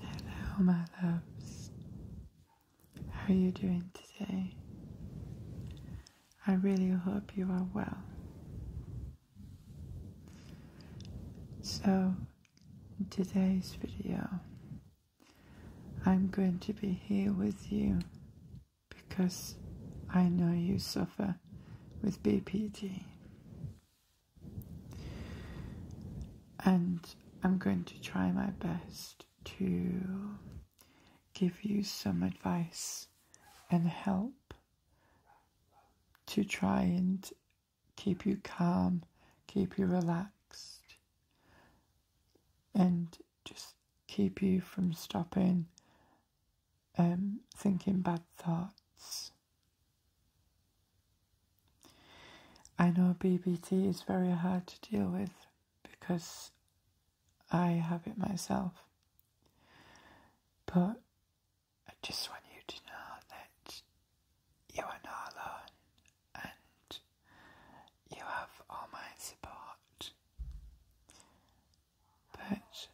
Hello, my loves. How are you doing today? I really hope you are well. So, today's video I'm going to be here with you because I know you suffer with BPD. And I'm going to try my best to give you some advice and help to try and keep you calm, keep you relaxed, and just keep you from stopping um, thinking bad thoughts. I know BBT is very hard to deal with because I have it myself. But I just want you to know that you are not alone, and you have all my support. But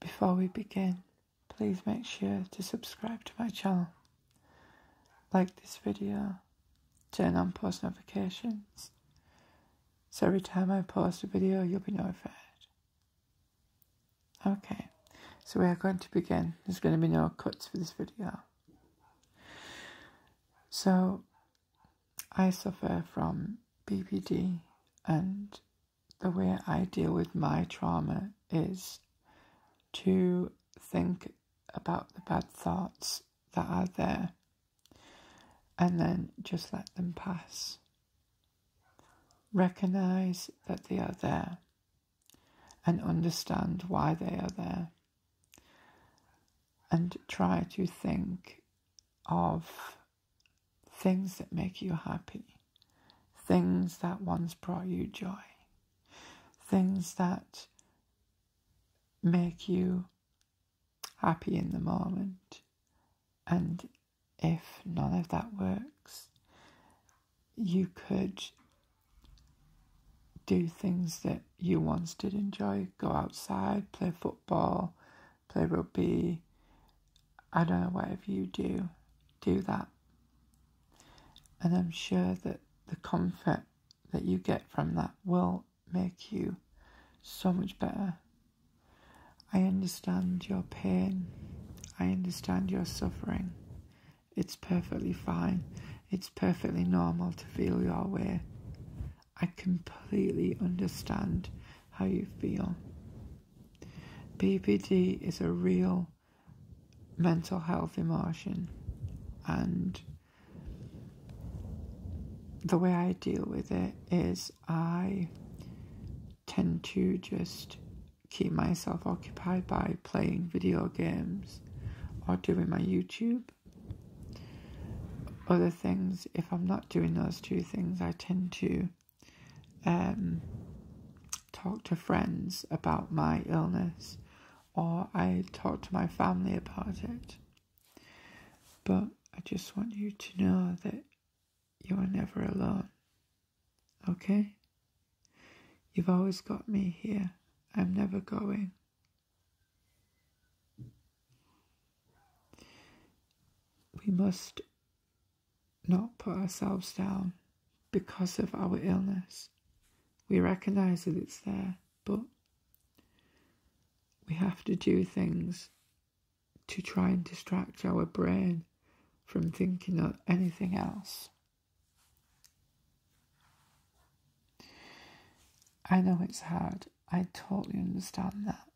before we begin, please make sure to subscribe to my channel, like this video, turn on post notifications, so every time I post a video, you'll be notified. Okay, so we are going to begin. There's going to be no cuts for this video. So I suffer from BPD, and the way I deal with my trauma is to think about the bad thoughts that are there and then just let them pass. Recognize that they are there and understand why they are there and try to think of things that make you happy, things that once brought you joy, things that make you happy in the moment. And if none of that works, you could do things that you once did enjoy go outside, play football, play rugby. I don't know, whatever you do, do that. And I'm sure that the comfort that you get from that will make you so much better. I understand your pain. I understand your suffering. It's perfectly fine. It's perfectly normal to feel your way. I completely understand how you feel. PPD is a real mental health emotion, and the way I deal with it is I tend to just keep myself occupied by playing video games or doing my YouTube. Other things, if I'm not doing those two things, I tend to um, talk to friends about my illness or I talk to my family about it. But I just want you to know that you are never alone. Okay? You've always got me here. I'm never going. We must not put ourselves down because of our illness. We recognize that it's there, but we have to do things to try and distract our brain from thinking of anything else. I know it's hard. I totally understand that.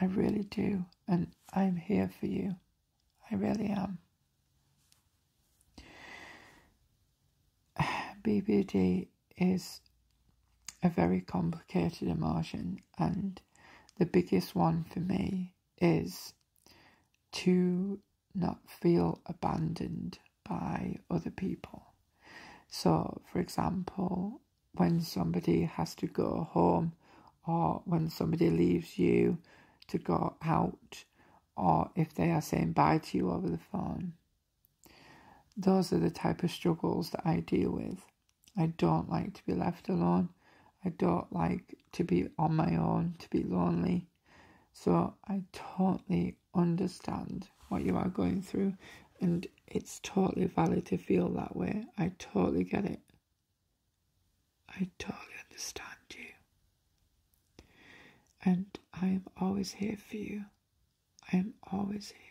I really do. And I'm here for you. I really am. BBD is a very complicated emotion, and the biggest one for me is to not feel abandoned by other people. So, for example, when somebody has to go home, or when somebody leaves you to go out, or if they are saying bye to you over the phone. Those are the type of struggles that I deal with. I don't like to be left alone. I don't like to be on my own, to be lonely. So I totally understand what you are going through, and it's totally valid to feel that way. I totally get it. I totally understand you. And I am always here for you. I am always here.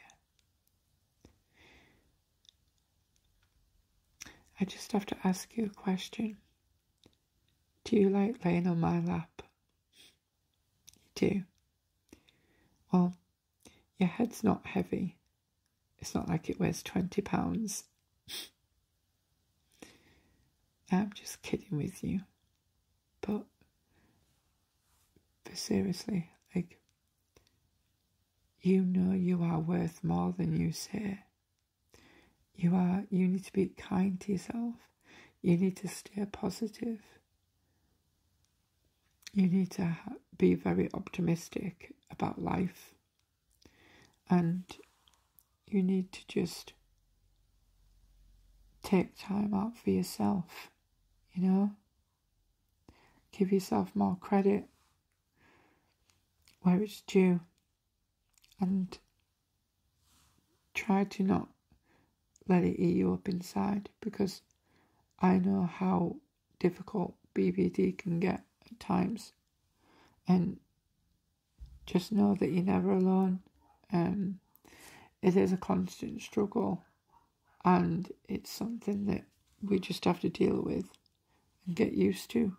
I just have to ask you a question. Do you like laying on my lap? You do. Well, your head's not heavy. It's not like it weighs 20 pounds. I'm just kidding with you. But, seriously, like, you know you are worth more than you say. You are, you need to be kind to yourself. You need to stay positive. You need to be very optimistic about life. And you need to just take time out for yourself, you know? Give yourself more credit where it's due and try to not let it eat you up inside because I know how difficult BPD can get at times. And just know that you're never alone. Um, it is a constant struggle, and it's something that we just have to deal with and get used to.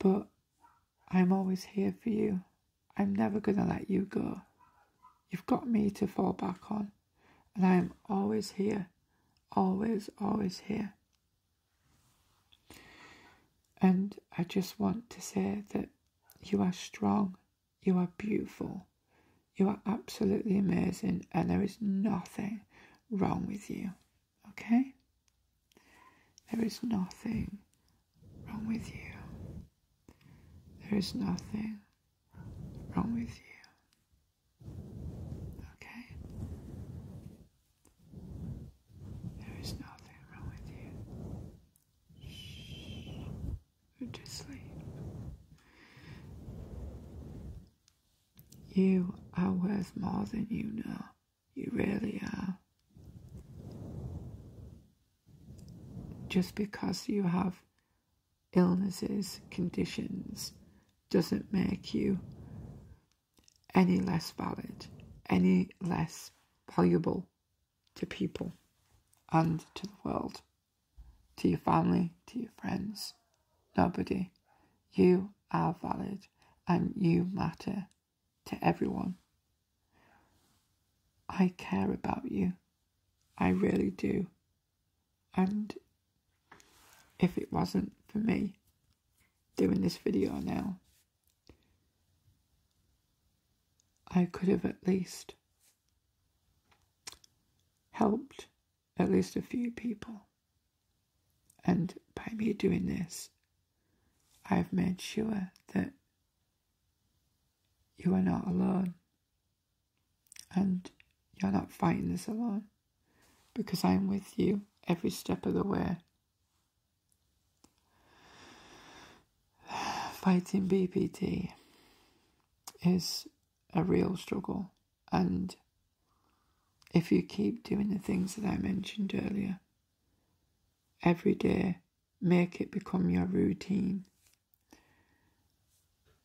But I'm always here for you. I'm never going to let you go. You've got me to fall back on, and I am always here. Always, always here. And I just want to say that you are strong, you are beautiful, you are absolutely amazing, and there is nothing wrong with you. Okay? There is nothing wrong with you. There is nothing wrong with you. Okay? There is nothing wrong with you. Shh. Go to sleep. You are worth more than you know. You really are. Just because you have illnesses, conditions, doesn't make you any less valid, any less valuable to people and to the world, to your family, to your friends nobody. You are valid and you matter to everyone. I care about you. I really do. And if it wasn't for me doing this video now, I could have at least helped at least a few people. And by me doing this, I've made sure that you are not alone and you're not fighting this alone because I'm with you every step of the way. Fighting BPD is a real struggle and if you keep doing the things that I mentioned earlier, every day, make it become your routine.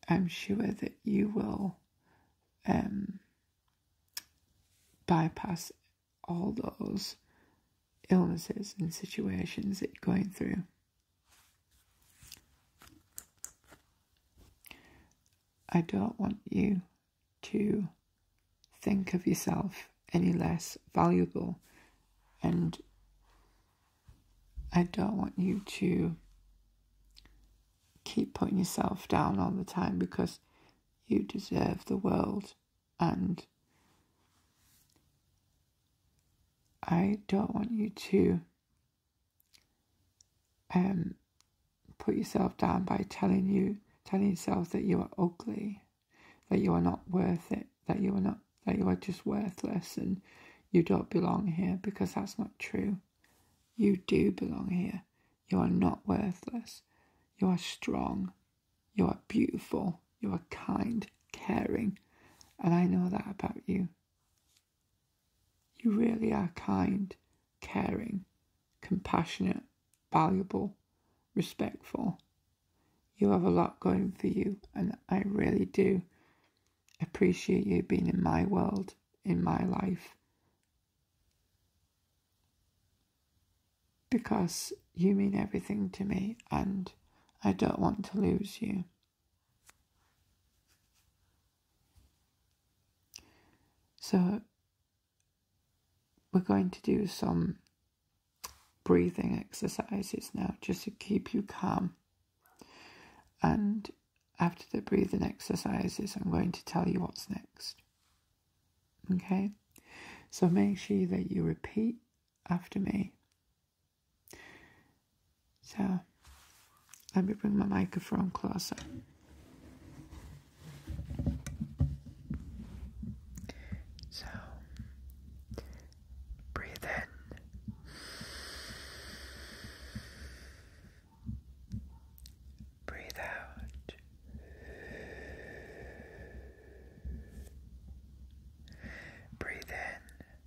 I'm sure that you will um, bypass all those illnesses and situations that you're going through. I don't want you to think of yourself any less valuable, and I don't want you to keep putting yourself down all the time because you deserve the world and I don't want you to um, put yourself down by telling you telling yourself that you are ugly, that you are not worth it, that you are not that you are just worthless and you don't belong here because that's not true. You do belong here. You are not worthless. You are strong. You are beautiful. You are kind, caring, and I know that about you. You really are kind, caring, compassionate, valuable, respectful. You have a lot going for you, and I really do appreciate you being in my world, in my life. Because you mean everything to me, and I don't want to lose you. So, we're going to do some breathing exercises now just to keep you calm. And after the breathing exercises, I'm going to tell you what's next. Okay? So, make sure that you repeat after me so let me bring my microphone closer. So breathe in breathe out breathe in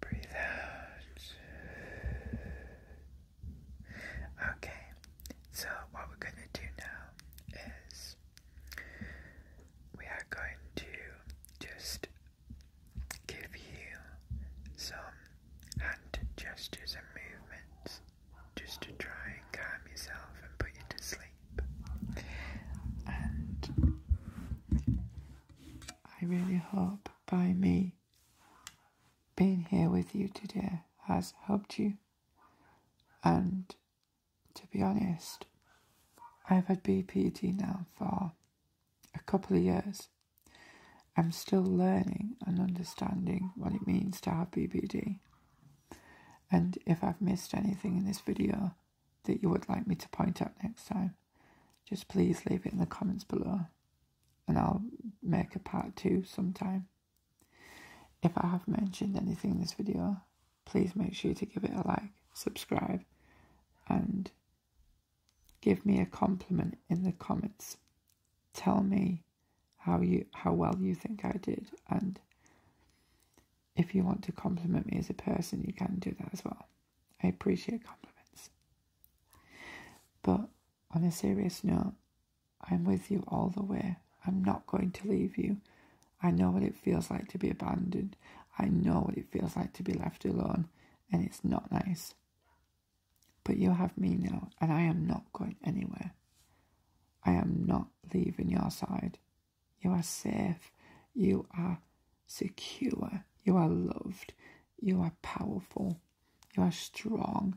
Breathe out. Okay, so what we're going to do now is we are going to just give you some hand gestures and movements just to try and calm yourself and put you to sleep. And I really hope by me being here with you today has helped you. And to be honest, I've had BPD now for a couple of years. I'm still learning and understanding what it means to have BPD. And if I've missed anything in this video that you would like me to point out next time, just please leave it in the comments below and I'll make a part two sometime. If I have mentioned anything in this video, please make sure to give it a like, subscribe, and give me a compliment in the comments. Tell me how you how well you think I did and if you want to compliment me as a person you can do that as well. I appreciate compliments. But on a serious note, I'm with you all the way. I'm not going to leave you. I know what it feels like to be abandoned. I know what it feels like to be left alone, and it's not nice. But you have me now, and I am not going anywhere. I am not leaving your side. You are safe. You are secure. You are loved. You are powerful, you are strong,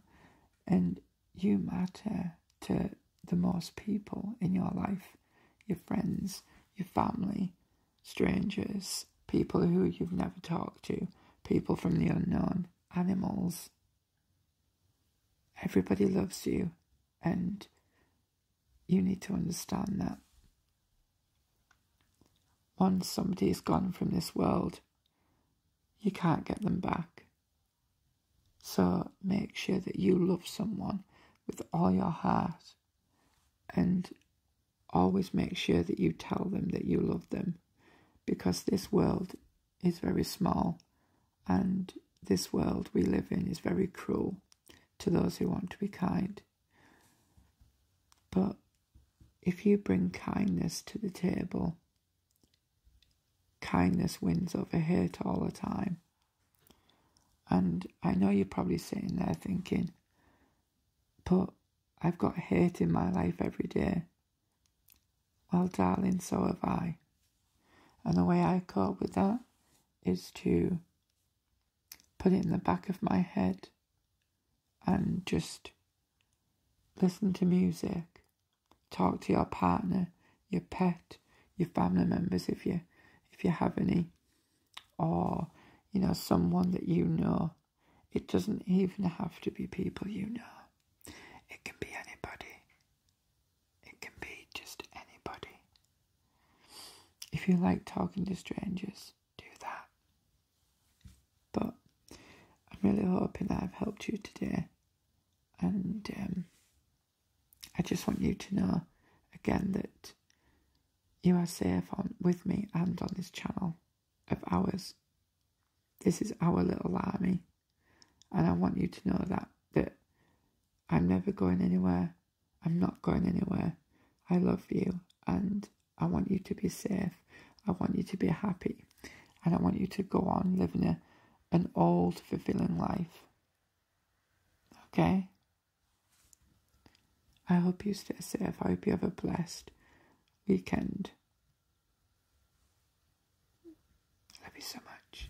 and you matter to the most people in your life your friends, your family, strangers, people who you've never talked to, people from the unknown, animals. Everybody loves you, and you need to understand that. Once somebody is gone from this world, you can't get them back. So make sure that you love someone with all your heart and always make sure that you tell them that you love them because this world is very small and this world we live in is very cruel to those who want to be kind. But if you bring kindness to the table, kindness wins over hate all the time. And I know you're probably sitting there thinking, but I've got hate in my life every day. Well, darling, so have I. And the way I cope with that is to put it in the back of my head and just listen to music, talk to your partner, your pet, your family members if you if you have any, or you know someone that you know. It doesn't even have to be people you know. It can be anybody. It can be just anybody. If you like talking to strangers, do that. But I'm really hoping that I've helped you today, and um, I just want you to know again that you are safe on with me and on this channel of ours. This is our little army, and I want you to know that that I'm never going anywhere. I'm not going anywhere. I love you and I want you to be safe. I want you to be happy and I want you to go on living a, an old, fulfilling life. Okay? I hope you stay safe. I hope you have a blessed weekend. Love you so much.